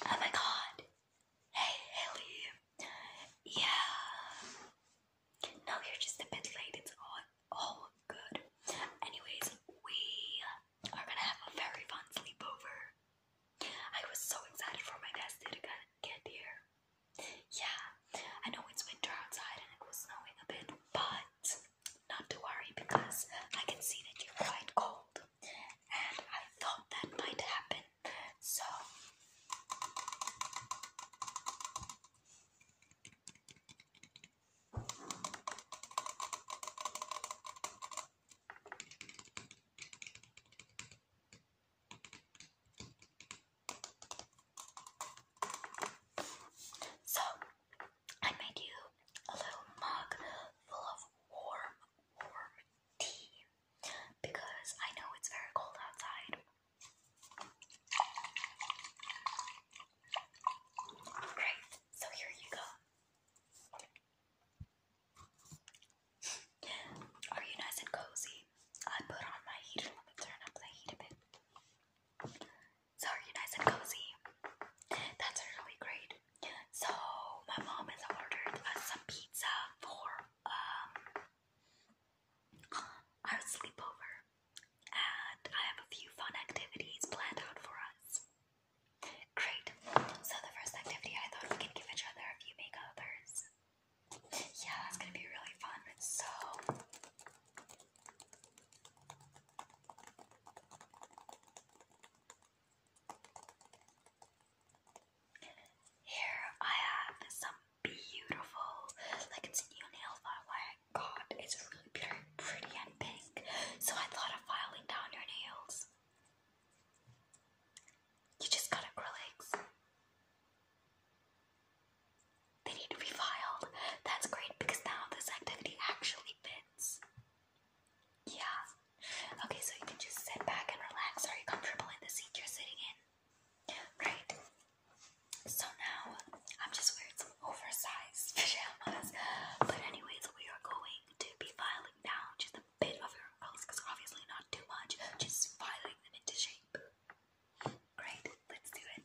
Oh my god. Hey, Haley. Yeah. No, you're just a bit late. It's all, all good. Anyways, we are gonna have a very fun sleepover. I was so excited for my guys to get here. Yeah, I know it's winter outside and it was snowing a bit, but not to worry because I can see that you're quite cold and I thought that might happen. So So, I made you a little mug full of warm, warm tea because I know it's very cold outside. Alright, so here you go. Are you nice and cozy? I put on my heater. Let me turn up the heat a bit so are and cozy? That's really great. So my mom has ordered us some pizza for um our sleepover, and I have a few fun activities planned out for us. Great. So the first activity I thought we could give each other a few makeovers. Yeah, that's gonna be really fun. So. Here I have some beautiful, like it's new nail file I got. It's really pretty and pink. So I thought of filing down your nails. You just got acrylics. They need to be filed. That's great because now this activity actually fits. Yeah. Okay, so you can just sit back and relax. Are you comfortable in the seat you're sitting in? Right. So now I'm just wearing some oversized pajamas. But anyways, we are going to be filing down just a bit of your curls, because obviously not too much. Just filing them into shape. Great, let's do it.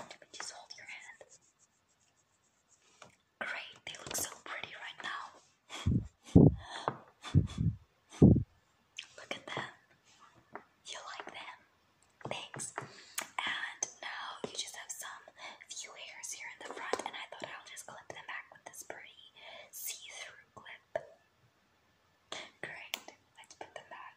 Let me just hold your hand. Great, they look so pretty right now. Look at them. You like them. Thanks. And now you just have some few hairs here in the front, and I thought I'll just clip them back with this pretty see-through clip. Great, let's put them back.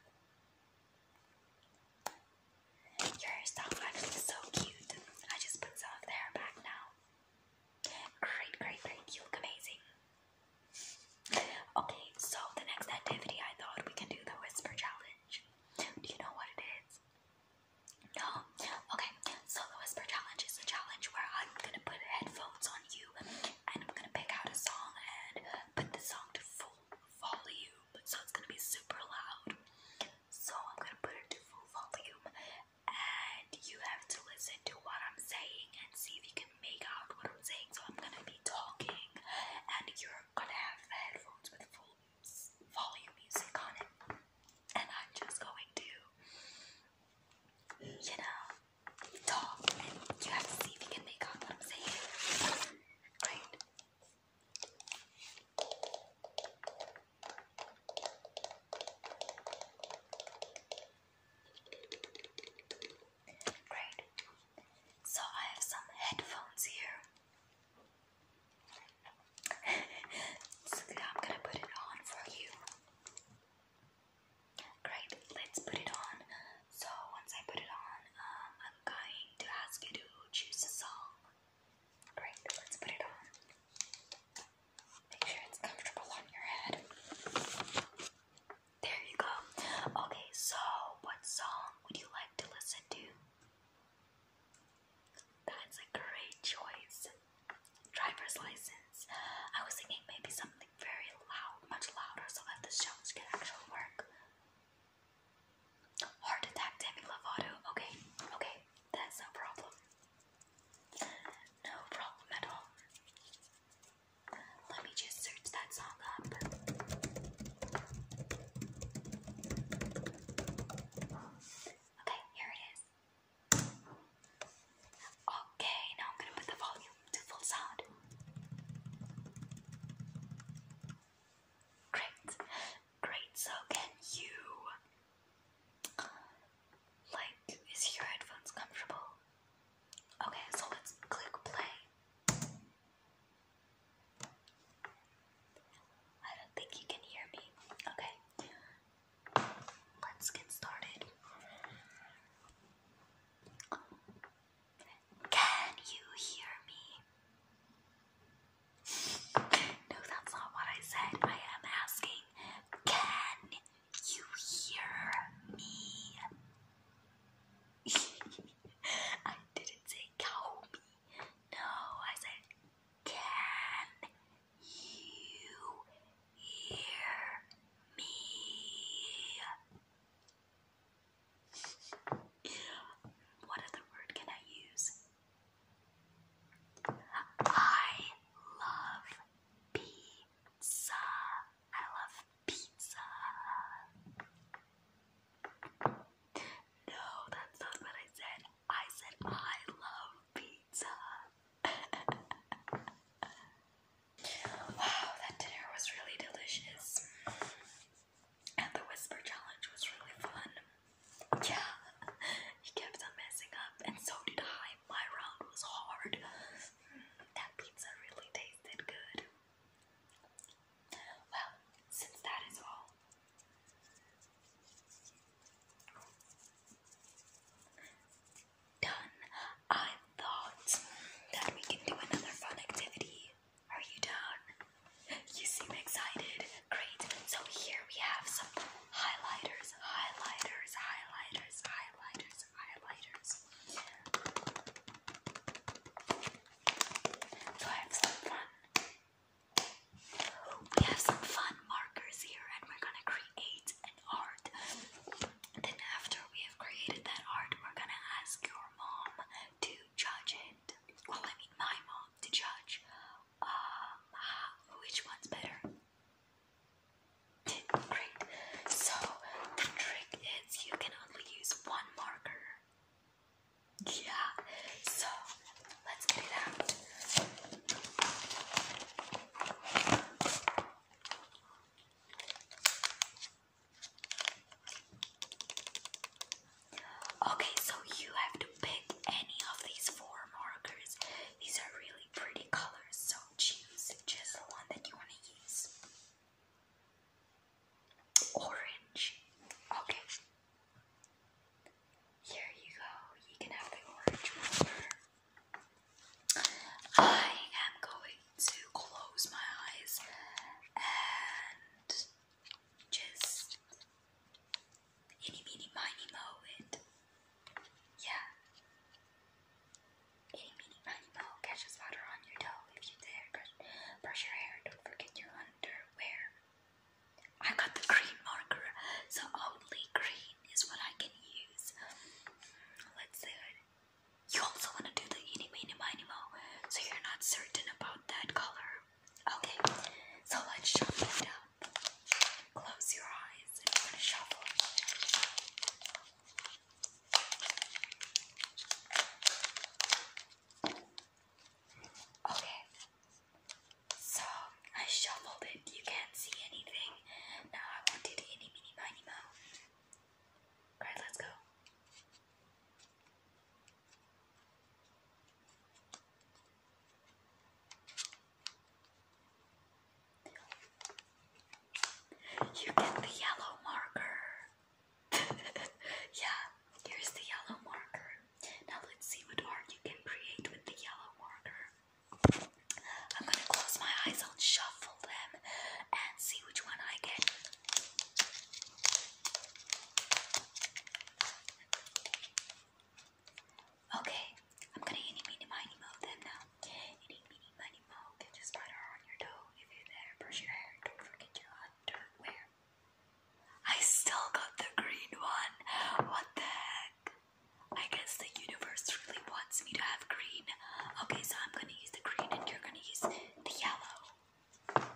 Your hairstyle is so cute. I just put some of the hair back now. Great, great, great. You look amazing. Okay, so the next activity I thought we can do the whisper challenge. Do you know what it is? No? Okay, so the whisper challenge is a challenge where I'm gonna put headphones on you and I'm gonna pick out a song and put the song to full volume, so it's gonna be super loud. So I'm gonna put it to full volume, and you have to listen to what I'm saying and see if you can make out what I'm saying. So I'm gonna be talking, and you're gonna have the headphones with full volume music on it, and I'm just going to, you know, talk, you have to see if you can make out what I'm saying. Right? Great. So I have some headphones here. I'm gonna put it on for you. Great, let's put it on. So once I put it on, I'm going to ask you to choose a song. Great, let's put it on. Make sure it's comfortable on your head. There you go. Okay, so what song would you like to listen to? That's a great choice. Driver's license. I was thinking maybe something very loud, much louder, so that the sounds can actually work. Heart attack, Demi Lovato. Okay, okay, that's no problem. No problem at all. Let me just search that song up. Okay, here it is. Okay, now I'm gonna put the volume to full sound. Great, great. So can you, like, is your headphones comfortable? Okay, so let's click play. I don't think you can hear me. Okay, let's get started. Can you hear me? No, that's not what I said. I am asking, can you hear me? I didn't say cow me. No, I said, can you hear me? What other word can I use? I love pizza. I love pizza. No, that's not what I said. I said I love pizza. wow, that dinner was really delicious. And the whisper challenge was really fun. Yeah, he kept on messing up, and so did I. My round was hard. that pizza really tasted good. Well, since that is all, done. I thought that we can do another fun activity. Are you down? You seem excited. Great. So here we have some highlighters, highlighters, highlighters, highlighters, highlighters. So I have some fun. We have some fun markers here, and we're gonna create an art. Then after we have created that art, we're gonna ask your mom to judge it well, I mean my mom to judge um, which one's better. Great. So the trick is you can only use one marker. Yeah. So let's get it out. Okay, so you have to pick any of these four markers. These are really pretty colors, so choose just the one that you want to use. Orange. Okay. Here you go. You can have the orange marker. I am going to close my eyes and just any meeny miny and yeah. Any meeny miny mo catches water on your toe if you dare. Brush, your hair, don't forget your underwear. I got the green marker, so only green is what I can use. Let's do You also want to do the eeny meeny miny so you're not certain about that color. Okay, so let's shuffle it up. Close your eyes and we gonna shuffle. Okay, so I shuffled it. You can't see anything. Now I wanted any mini mini mo. Alright, let's go. You get the yellow marker. yeah, here's the yellow marker. Now let's see what art you can create with the yellow marker. I'm gonna close my eyes, i shuffle them and see which one I get. Okay, I'm gonna eeny meeny miny mo them now. Eeny meeny miny mo, get your spider on your toe. If you're brush your hair. Don't forget your underwear. I still got the green one. What the heck? I guess the universe really wants me to have green. Okay, so I'm gonna use the green and you're gonna use the yellow.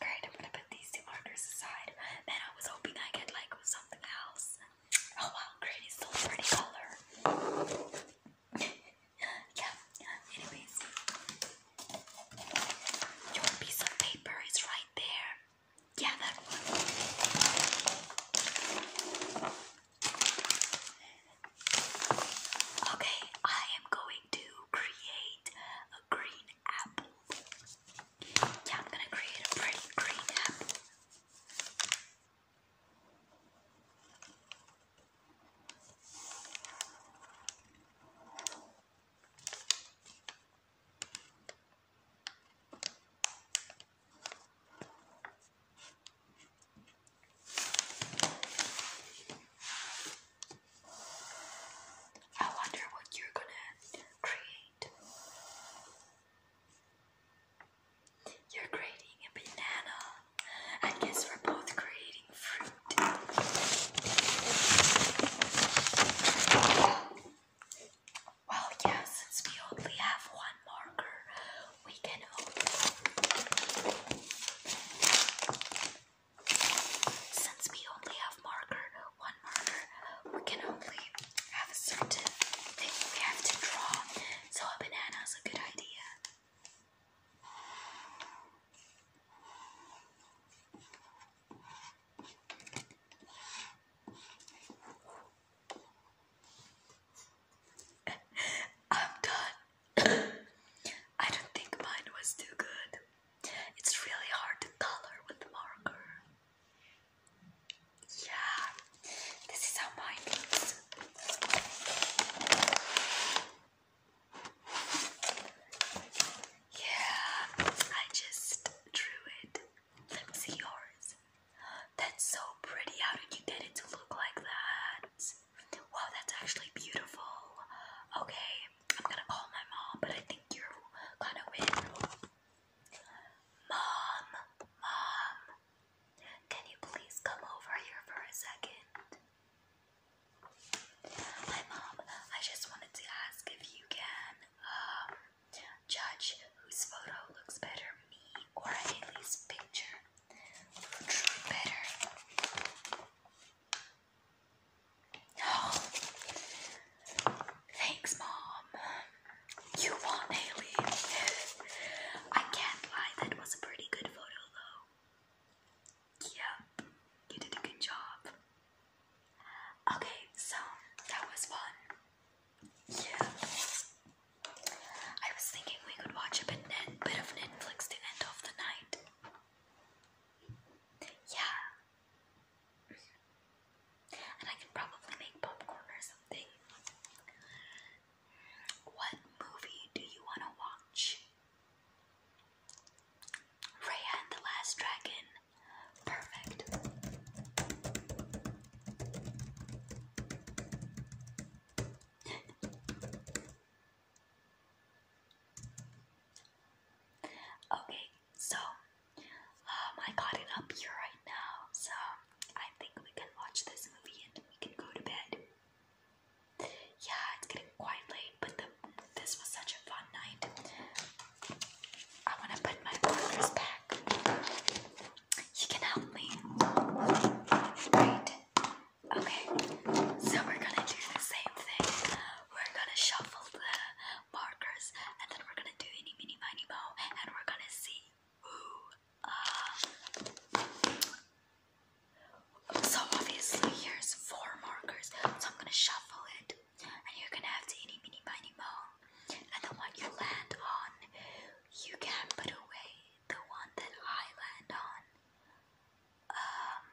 Great, I'm gonna put these two markers aside. Man, I was hoping I could like something else. Oh wow, great, it's still a pretty color. yeah, anyways. Your piece of paper is right there. Yeah, that one. Okay, I am going to create a green apple. Yeah, I'm gonna create a pretty green apple. I wonder what you're gonna create. You're creating a banana. I guess we're both creating fruit. Well, yeah, since we only have one marker, we can open. Since we only have marker, one marker, we can only have a certain thing we have to draw. So a banana is a good idea. I'm done. I don't think mine was too good. It's really hard to color with the marker. Yeah, this is how mine looks. Yeah, I just drew it. Let me see yours. That's so pretty. How did you get it to look like that? Wow, that's actually beautiful. Okay, I'm gonna call my mom, but I think you're gonna win. Mom, mom, can you please come over here for a second? Hi, mom. I just wanted to ask if you can um, judge whose photo looks better, me or Haley's picture better. Oh, thanks, Mom. You won, Haley. I can't lie, that was a pretty good photo, though. Yep, you did a good job. Okay, so that was fun. Yeah. I was thinking we could watch a bit of Netflix to end off the night. Yeah. And I can probably make popcorn or something. What movie do you want to watch? Raya and the Last Dragon. Perfect. Okay, so um, I got it up here right now, so I think we can watch this movie and we can go to bed. Yeah, it's getting quite late, but this was such a fun night. I want to put my markers back. You can help me. Right. Okay, so we're gonna do the same thing. We're gonna shuffle the markers and then we're gonna do any mini mini mo and we're gonna see who uh, so obviously here's four markers, so I'm gonna shuffle it and you're gonna have to any mini miny mo and the one you land on you can put away the one that I land on. Um,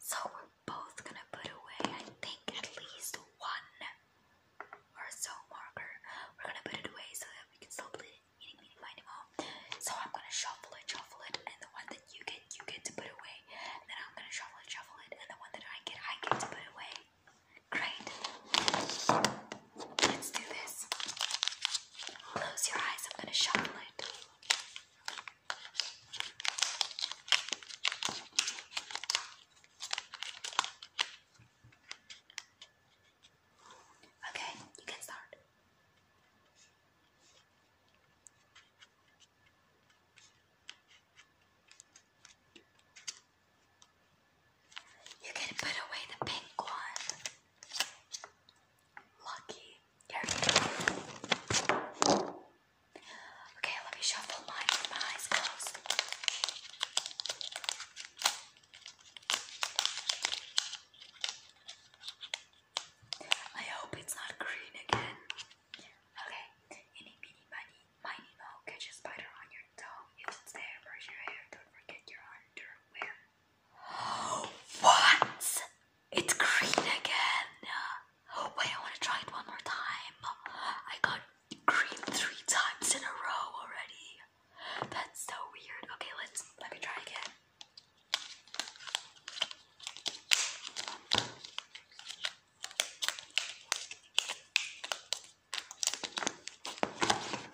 so we're both gonna put away, I think, at least one or so marker. We're gonna put it away so that we can still play eating, eating, finding all. So I'm gonna shuffle it, shuffle it, and the one that you get, you get to put away. then I'm gonna shuffle it, shuffle it, and the one that I get, I get to put away. Great. Let's do this. Close your eyes, I'm going to shuffle it. Okay, you can start. You can put away the pink one lucky. Here we go. Okay, let me shuffle my eyes closed. I hope it's not green again. Okay, any mini money, miny mo, catch a spider on your toe. If it's there, brush your hair. Don't forget your underwear. What? It's green again. Wait, I want to try it one more time. I got green three times in a row already. That's so weird. Okay, let's let me try again.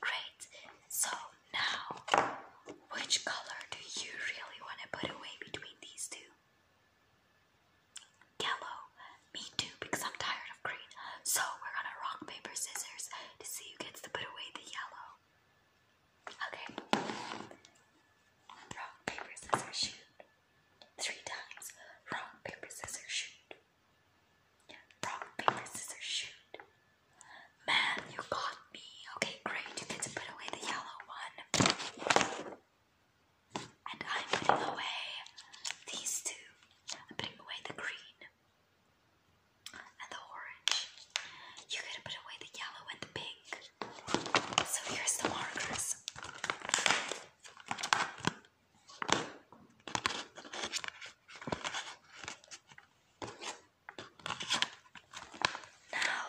Great. So now, which color do you really want to put away between these two? Yellow. Me too, because I'm tired of green. So we're gonna rock, paper, scissors to see who gets to put away the yellow. Okay. Rock, paper, scissors, shoot. Three times. Rock, paper, scissors, shoot. Rock, paper, scissors, shoot. Man, you got me. Okay, great. You get to put away the yellow one. And I'm putting away these two. I'm putting away the green and the orange. You gotta put away the yellow and the pink. So here's the markers. Now,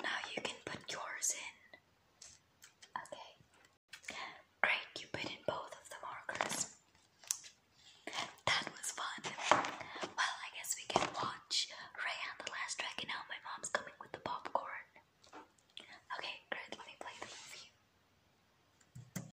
now you can put yours in. Okay. Great, you put in both of the markers. That was fun. Well, I guess we can watch Ray and the Last Dragon now. My mom's coming with the popcorn. Okay, great, let me play the movie.